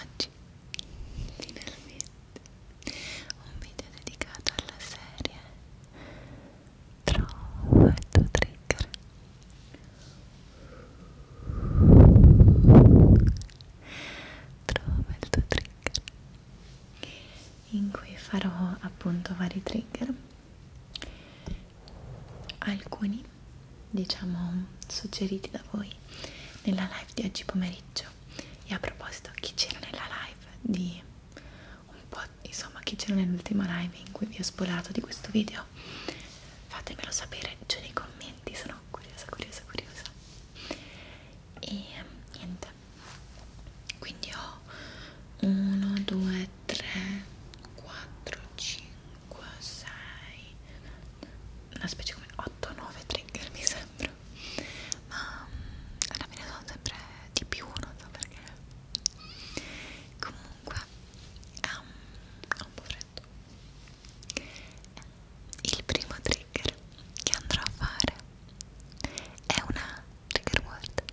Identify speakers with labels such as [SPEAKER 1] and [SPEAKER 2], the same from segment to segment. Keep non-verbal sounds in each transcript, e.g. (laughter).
[SPEAKER 1] Oggi finalmente un video dedicato alla serie Trova il tuo trigger Trova il tuo trigger in cui farò appunto vari trigger alcuni diciamo suggeriti da voi nella live di oggi pomeriggio e a proposito chi c'era nella live di un po' insomma chi c'era nell'ultima live in cui vi ho sporato di questo video fatemelo sapere giù nei commenti sono curiosa curiosa curiosa e niente quindi ho 1 2 3, 4, 5, 6, una specie come 8, 9 trigger mi sembra, ma mm, alla fine sono sempre di più, non so perché. Comunque, ehm, ho um, un po' freddo. Eh, il primo trigger che andrò a fare è una trigger word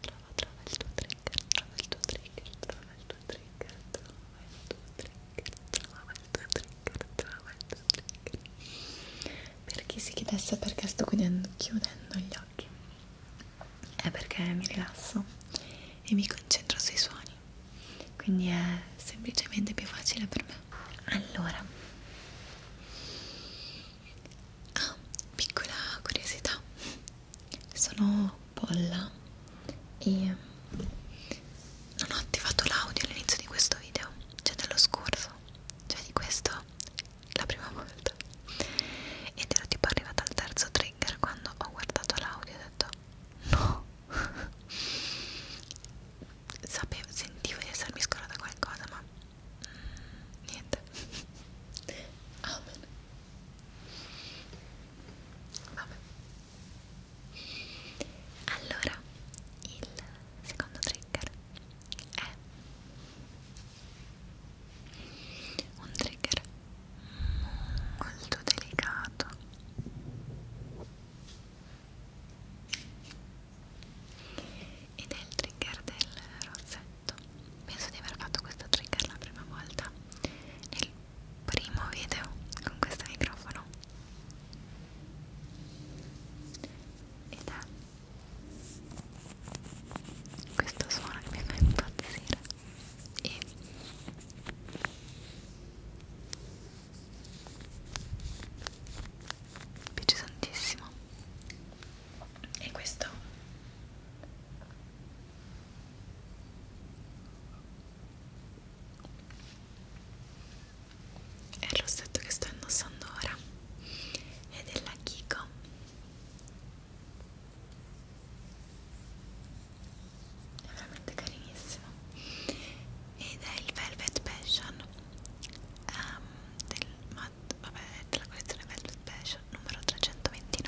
[SPEAKER 1] trova, trova, trova il tuo trigger, trova il tuo trigger, trova il tuo trigger, trova il tuo trigger, trova il tuo trigger, trova il tuo trigger. Per chi si chiedesse perché sto chiudendo, chiudendo gli occhi, è perché mi rilasso e mi concentro sui suoni, quindi è semplicemente più facile per me. Allora, ah, piccola curiosità sono Polla e ehm, non ho attivato l'audio all'inizio di questo video, cioè dello scorso, cioè di questo la prima volta ed ero tipo arrivata al terzo trigger quando ho guardato l'audio e ho detto no (laughs) sapevo, sentivo di essermi scordata qualcosa ma mm, niente ah, (laughs) bene. Vabbè. Allora, il secondo trigger è un trigger molto delicato ed è il trigger del rossetto letto penso di aver fatto questo trigger la prima volta nel primo video con questo microfono ed è questo suono che mi fa impazzire e mi piace tantissimo e questo è il rossetto che sto indossando ora è della Kiko è veramente carinissimo ed è il Velvet Passion um, del, ma, vabbè, della collezione Velvet Passion Collection numero 329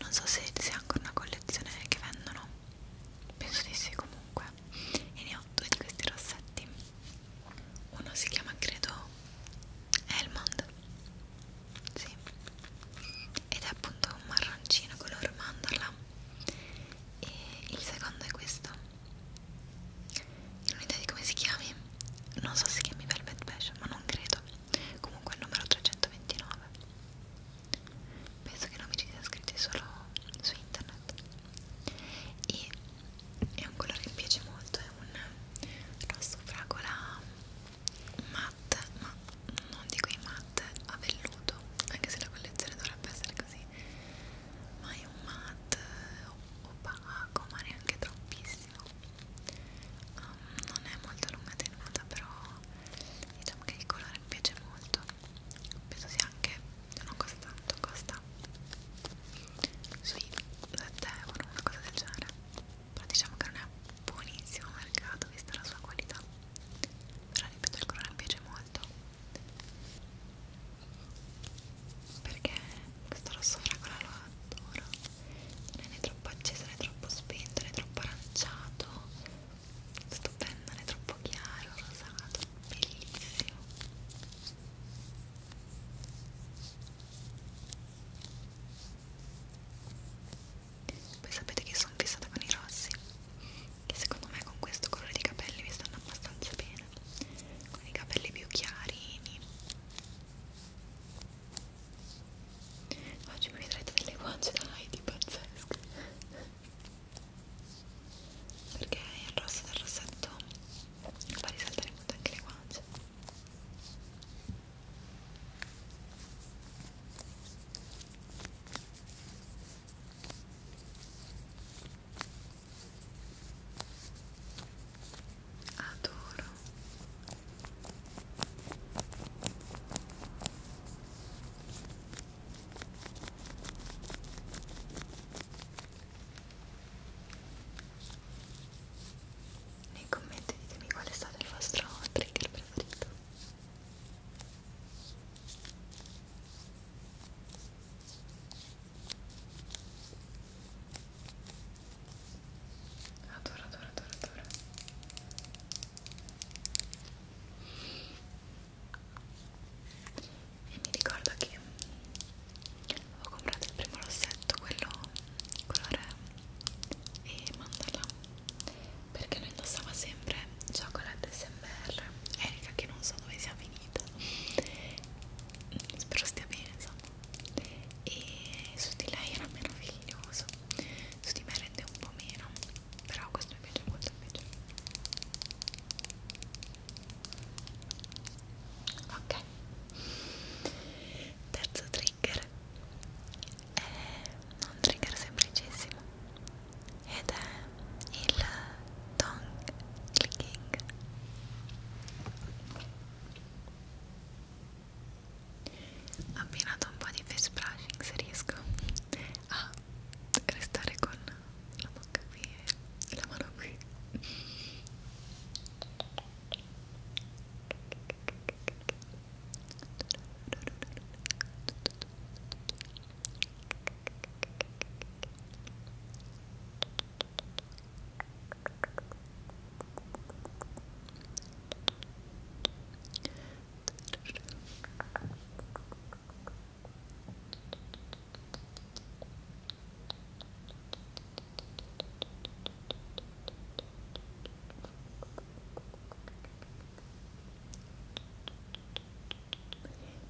[SPEAKER 1] non so se sia ancora una collezione che vendono penso di sì comunque e ne ho due di questi rossetti uno si chiama credo Elmond sì. ed è appunto un marroncino color mandorla e il secondo è questo non ho idea di come si chiami non so se chiami Velvet Passion ma non credo comunque il numero 329 penso che non mi ci sia scritti solo su internet e è un colore che mi piace molto è un rosso fragola matte ma non di quei matte a velluto anche se la collezione dovrebbe essere così ma è un matte opaco ma neanche troppissimo um, non è molto lunga tenuta però diciamo che il colore mi piace molto penso sia anche non costa tanto costa sui 7 euro una cosa del genere però diciamo che non è buonissimo mercato vista la sua qualità però ripeto il colore mi piace molto perché questo rosso fragola lo adoro non è né troppo acceso né troppo spento né troppo aranciato stupendo né troppo chiaro rosato bellissimo poi sapete che sono fissata con i rossi che secondo me con questo colore di capelli mi stanno abbastanza bene con i capelli più chiari Oggi mi vedrete delle guance da Heidi pazzesche Perché il rosso del rossetto fa risaltare molto anche le guance Ecco adoro nei commenti ditemi qual è stato il vostro trigger preferito Adoro, adoro, adoro, adoro. E mi ricordo che avevo comprato il primo rossetto, quello colore e mandala, perché lo indossava sempre Chocolate SMR. Erika che non so dove sia finita. Spero stia bene, insomma e su di lei era meraviglioso su di me rende un po' meno però questo mi piace molto invece ok terzo trigger è un trigger semplicissimo ed è il tongue clicking abbinato un po' di face brushing se riesco a restare con la bocca qui e la mano qui ok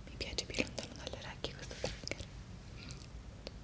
[SPEAKER 1] mi piace più lontano dalle orecchie questo trigger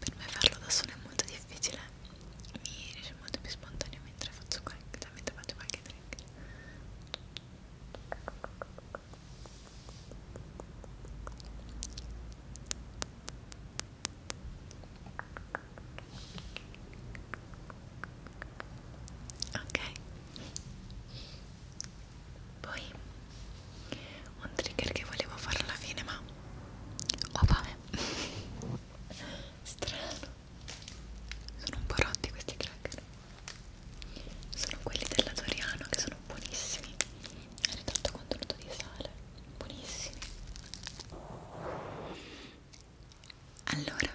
[SPEAKER 1] per me farlo da sola è molto difficile mi riesce molto più spontaneo mentre faccio qualche, cioè mentre faccio qualche trick ok poi un trigger che volevo fare alla fine, ma oh vabbè, strano. Sono un po' rotti questi cracker. Sono quelli della Doriano che sono buonissimi. È ritratto contenuto di sale, buonissimi. Allora,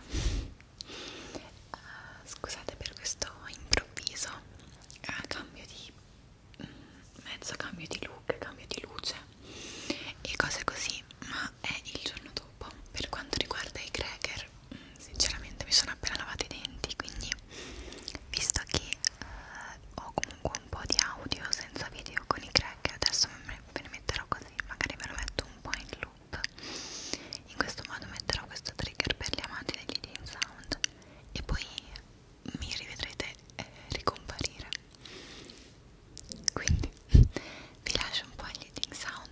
[SPEAKER 1] uh, scusate per questo improvviso uh, cambio di mezzo cambio di look, cambio di luce e cose così, ma è il giorno dopo. Per quanto riguarda i cracker, mm, sinceramente mi sono appena lavato i denti, quindi visto che eh, ho comunque un po' di audio senza video con i cracker, adesso me ne metterò così, magari ve lo metto un po' in loop. In questo modo metterò questo trigger per gli amanti degli Dean Sound e poi mi rivedrete eh, ricomparire quindi (laughs) vi lascio un po' agli eating sound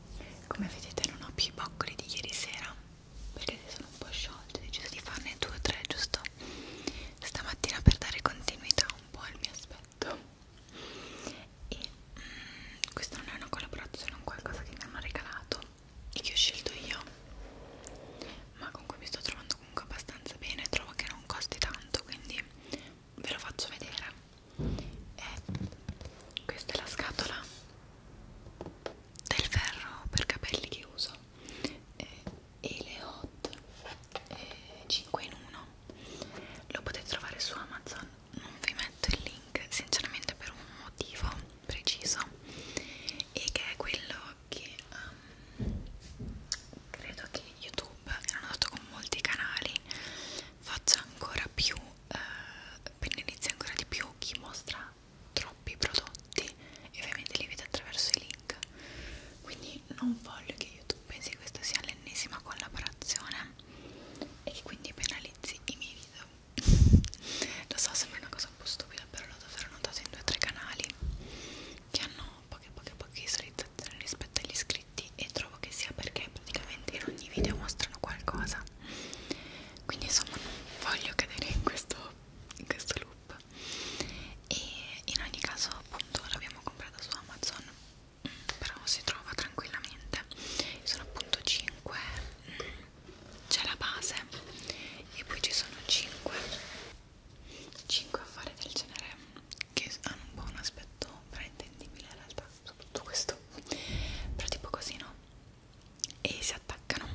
[SPEAKER 1] come vedete non ho più i boccoli di ieri sera perché si sono un po' sciolti ho deciso di farne due o tre giusto stamattina per dare continuità un po' al mio aspetto e mm, questa non è una collaborazione è un qualcosa che mi hanno regalato e che ho scelto io ma con cui mi sto trovando comunque abbastanza bene trovo che non costi tanto quindi ve lo faccio vedere e eh, questa è la scatola del ferro per capelli che uso e eh, le hot eh, e 5 in 1 lo potete trovare su Amazon non vi metto il link sinceramente per un motivo preciso e che è quello che um, credo che YouTube, l'hanno dato con molti canali faccia ancora più eh, penalizzi ancora di più chi mostra troppi prodotti e ovviamente li vede attraverso i link quindi non voglio che youtube pensi che questa sia l'ennesima collaborazione e che quindi penalizzi i miei video (laughs) lo so sembra una cosa un po' stupida però l'ho davvero notato in due o tre canali che hanno poche poche poche visualizzazioni rispetto agli iscritti iscritti e trovo che sia perché praticamente in ogni video mostrano qualcosa quindi insomma non voglio cadere in questo, in questo loop e in ogni caso appunto l'abbiamo comprato su Amazon mm, però si trova tranquillamente sono appunto 5 mm, c'è la base e poi ci sono 5 5 affari del genere che hanno un po' un aspetto fraintendibile in realtà, soprattutto questo, però tipo così no? E si attaccano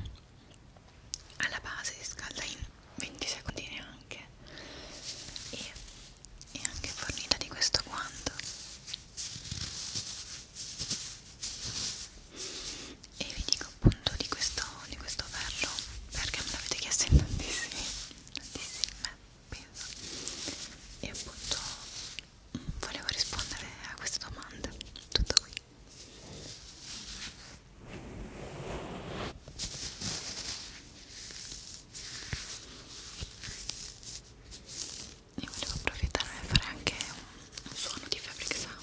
[SPEAKER 1] alla base, si scalda in 20 secondi neanche e è anche fornita di questo guanto e vi dico appunto di questo, di questo ferro perché me l'avete chiesto in tantissimi tantissime pensa e appunto mm, volevo rispondere a queste domande tutto qui e volevo approfittare e fare anche un, un suono di fabric sound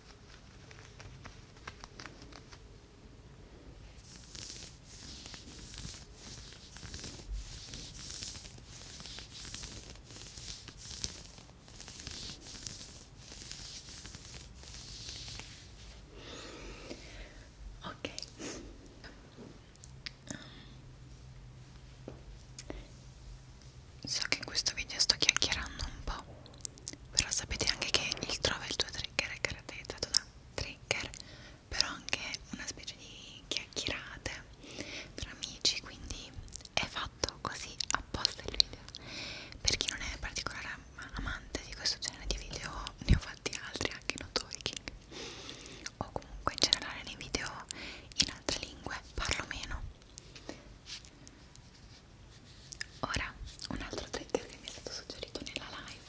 [SPEAKER 1] Ok, so che in questo video sto chiacchierando un po', però sapete anche che il trova il tuo trigger è caratterizzato da trigger però anche una specie di chiacchierate tra amici quindi è fatto così apposta il video per chi non è particolare amante di questo genere di video ne ho fatti altri anche in talking o comunque in generale nei video in altre lingue parlo meno Ora, un altro trigger che mi è stato suggerito nella live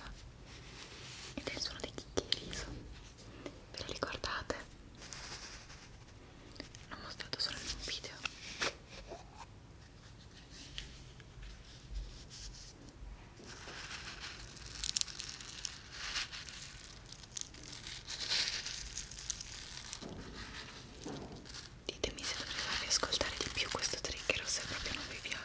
[SPEAKER 1] ed è il suono dei chicchi riso. Ve lo ricordate? L'ho mostrato solo in un video. Ditemi se dovrei farvi ascoltare di più questo trigger o se proprio non vi piace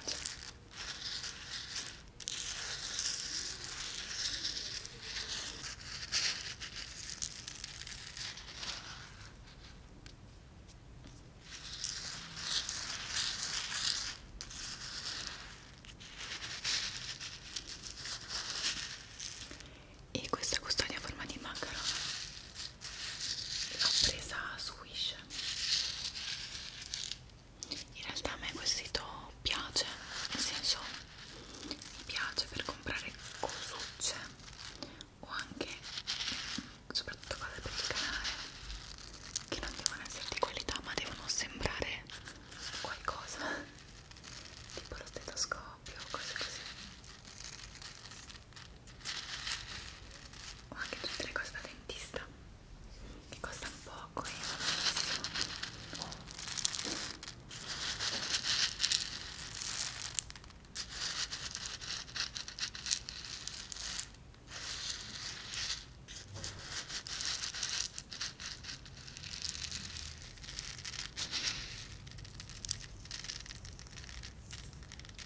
[SPEAKER 1] e questa custodia a forma di macarone l'ho presa su Wish in realtà a me questo sito piace nel senso mi piace per comprare cosucce o anche soprattutto cose per il canale che non devono essere di qualità ma devono sembrare qualcosa (laughs) tipo lo stetoscopio cose così ho anche tutte le cose da dentista che costano poco e eh, non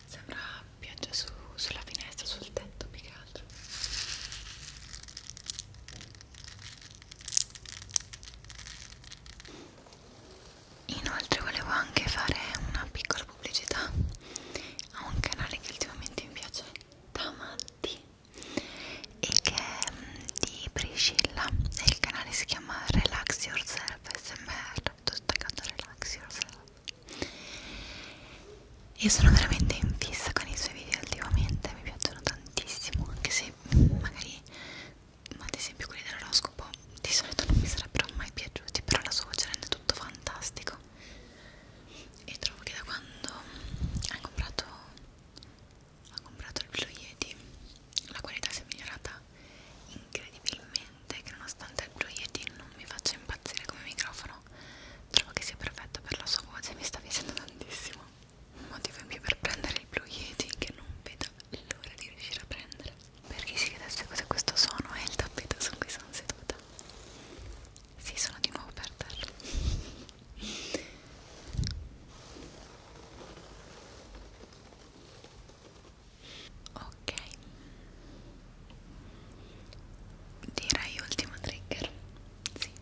[SPEAKER 1] Sembra pioggia su, sulla finestra, sul tetto più che altro. Inoltre volevo anche fare una piccola pubblicità a un canale che ultimamente mi piace da matti e che è mm, di Priscilla e il canale si chiama Relax Yourself FSMR, sto staccando relax yourself e sono veramente in fissa con i suoi video ultimamente, mi piacciono tantissimo, anche se magari, ma ad esempio quelli dell'oroscopo di solito non mi sarebbero mai piaciuti, però la sua voce rende tutto fantastico e trovo che da quando ha comprato, ha comprato il Blue Yeti la qualità si è migliorata incredibilmente che nonostante il proiettile non mi faccia impazzire come microfono trovo che sia perfetto per la sua voce mi sta piacendo tantissimo un motivo in più per prendere il Blue Yeti che non vedo l'ora di riuscire a prendere per chi si chiedesse cos'è questo suono è il tappeto su cui sono seduta sì sono di nuovo per terra ok direi ultimo trigger sì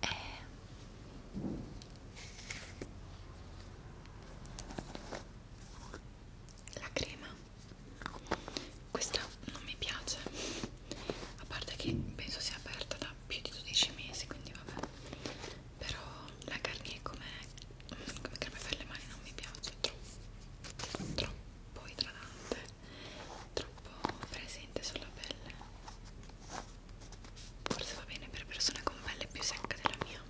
[SPEAKER 1] e... Eh, la crema questa non mi piace a parte che penso sia aperta da più di 12 mesi quindi vabbè però la carne come, come crema per le mani non mi piace troppo, troppo idratante troppo presente sulla pelle forse va bene per persone con pelle più secca della mia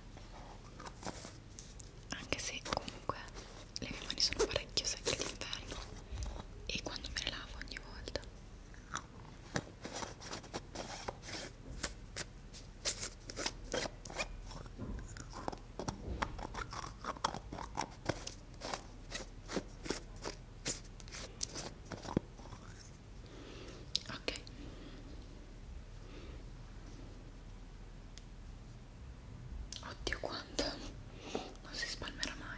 [SPEAKER 1] anche se comunque le mie mani sono parecchio secche d'inverno e quando me le lavo ogni volta Ok. Oddio quanto. Non si spalmerà mai.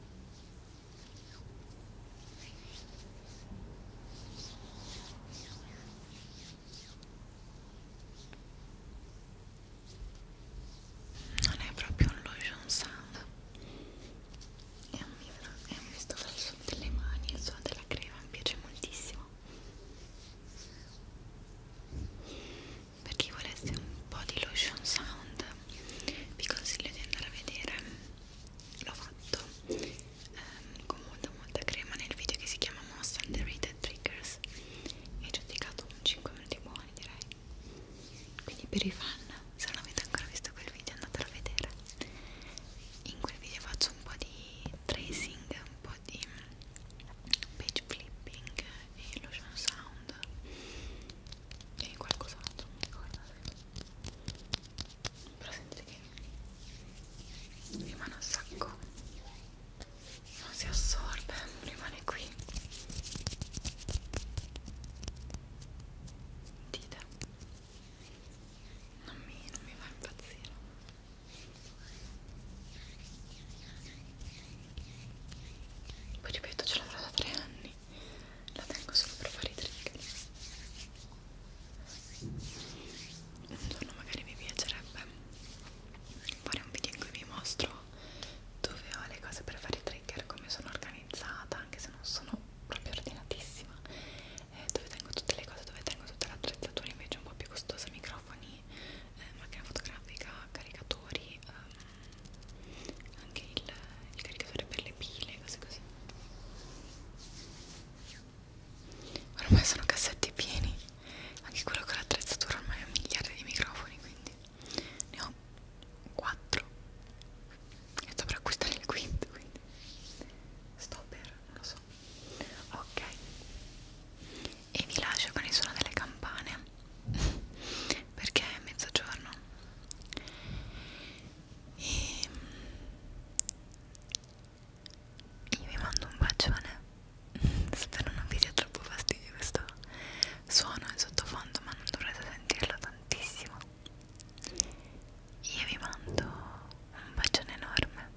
[SPEAKER 1] non è proprio un lotion sound è un vibro, è un visto dal suono delle mani il suono della crema mi piace moltissimo per chi volesse un po' di lotion sound vi consiglio di andare a vedere l'ho fatto ehm, con molta molta crema nel video che si chiama Most Underrated Triggers e ci ho dedicato un 5 minuti buoni direi quindi per i fan se non avete ancora visto quel video andatelo a vedere in quel video faccio un po' di tracing un po' di page flipping e lotion sound Sound e qualcos'altro, non mi ricordo se. però sentite che rimane un sacco non si assorbe, rimane qui dite non mi, non mi fa impazzire poi ripeto, ce l'avrò da tre anni. La tengo solo per fare i trigger. Un giorno magari mi piacerebbe fare un video in cui vi mostro dove ho le cose per fare i trigger, come sono organizzata, anche se non sono proprio ordinatissima, eh, dove tengo tutte le cose, dove tengo tutta l'attrezzatura invece un po' più costosa, microfoni, eh, macchina fotografica, caricatori, eh, anche il, il caricatore per le pile, cose così. Ormai sono cassetti pieni, anche quello con l'attrezzatura ormai ha miliardi di microfoni, quindi ne ho 4 e dovrò acquistare il quinto, quindi sto per, non lo so. Ok, e vi lascio con il suono delle campane (laughs) perché è mezzogiorno e ehm, io vi mando un bacione (laughs) spero non vi dia troppo fastidio questo suono in sottofondo ma non dovrete sentirlo tantissimo io vi mando un bacione enorme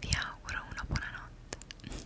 [SPEAKER 1] vi auguro una buona notte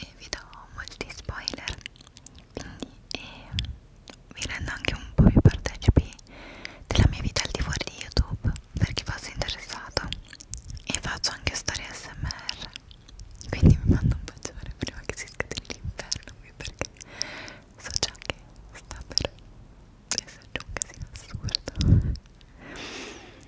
[SPEAKER 1] e vi do molti spoiler quindi eh, vi rendo anche un po' più partecipi della mia vita al di fuori di YouTube per chi fosse interessato e faccio anche storie smr quindi vi mando un bacione prima che si scateni l'inferno qui perché so già che sta per esserci un casino assurdo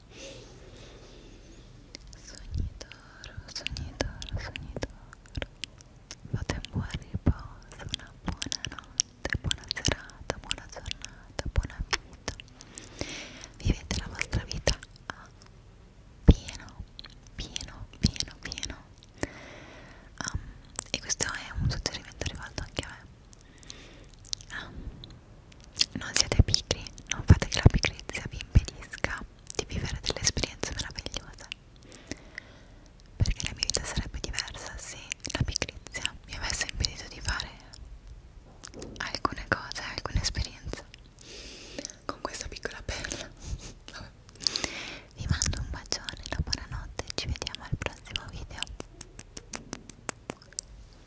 [SPEAKER 1] Sogni d'oro, sogni d'oro, sogni d'oro Fate un buon riposo, una buona notte, buona serata, buona giornata, buona vita Vivete la vostra vita a pieno, pieno, pieno, pieno um, E questo è un suggerimento rivolto anche a me um, non siete pigri, non fate che la pigrizia vi impedisca di vivere delle esperienze meravigliose. Perché la mia vita sarebbe diversa se la pigrizia mi avesse impedito di fare alcune cose, alcune esperienze. Con questa piccola perla. Vabbè. Vi mando un bacione, la buonanotte, ci vediamo al prossimo video.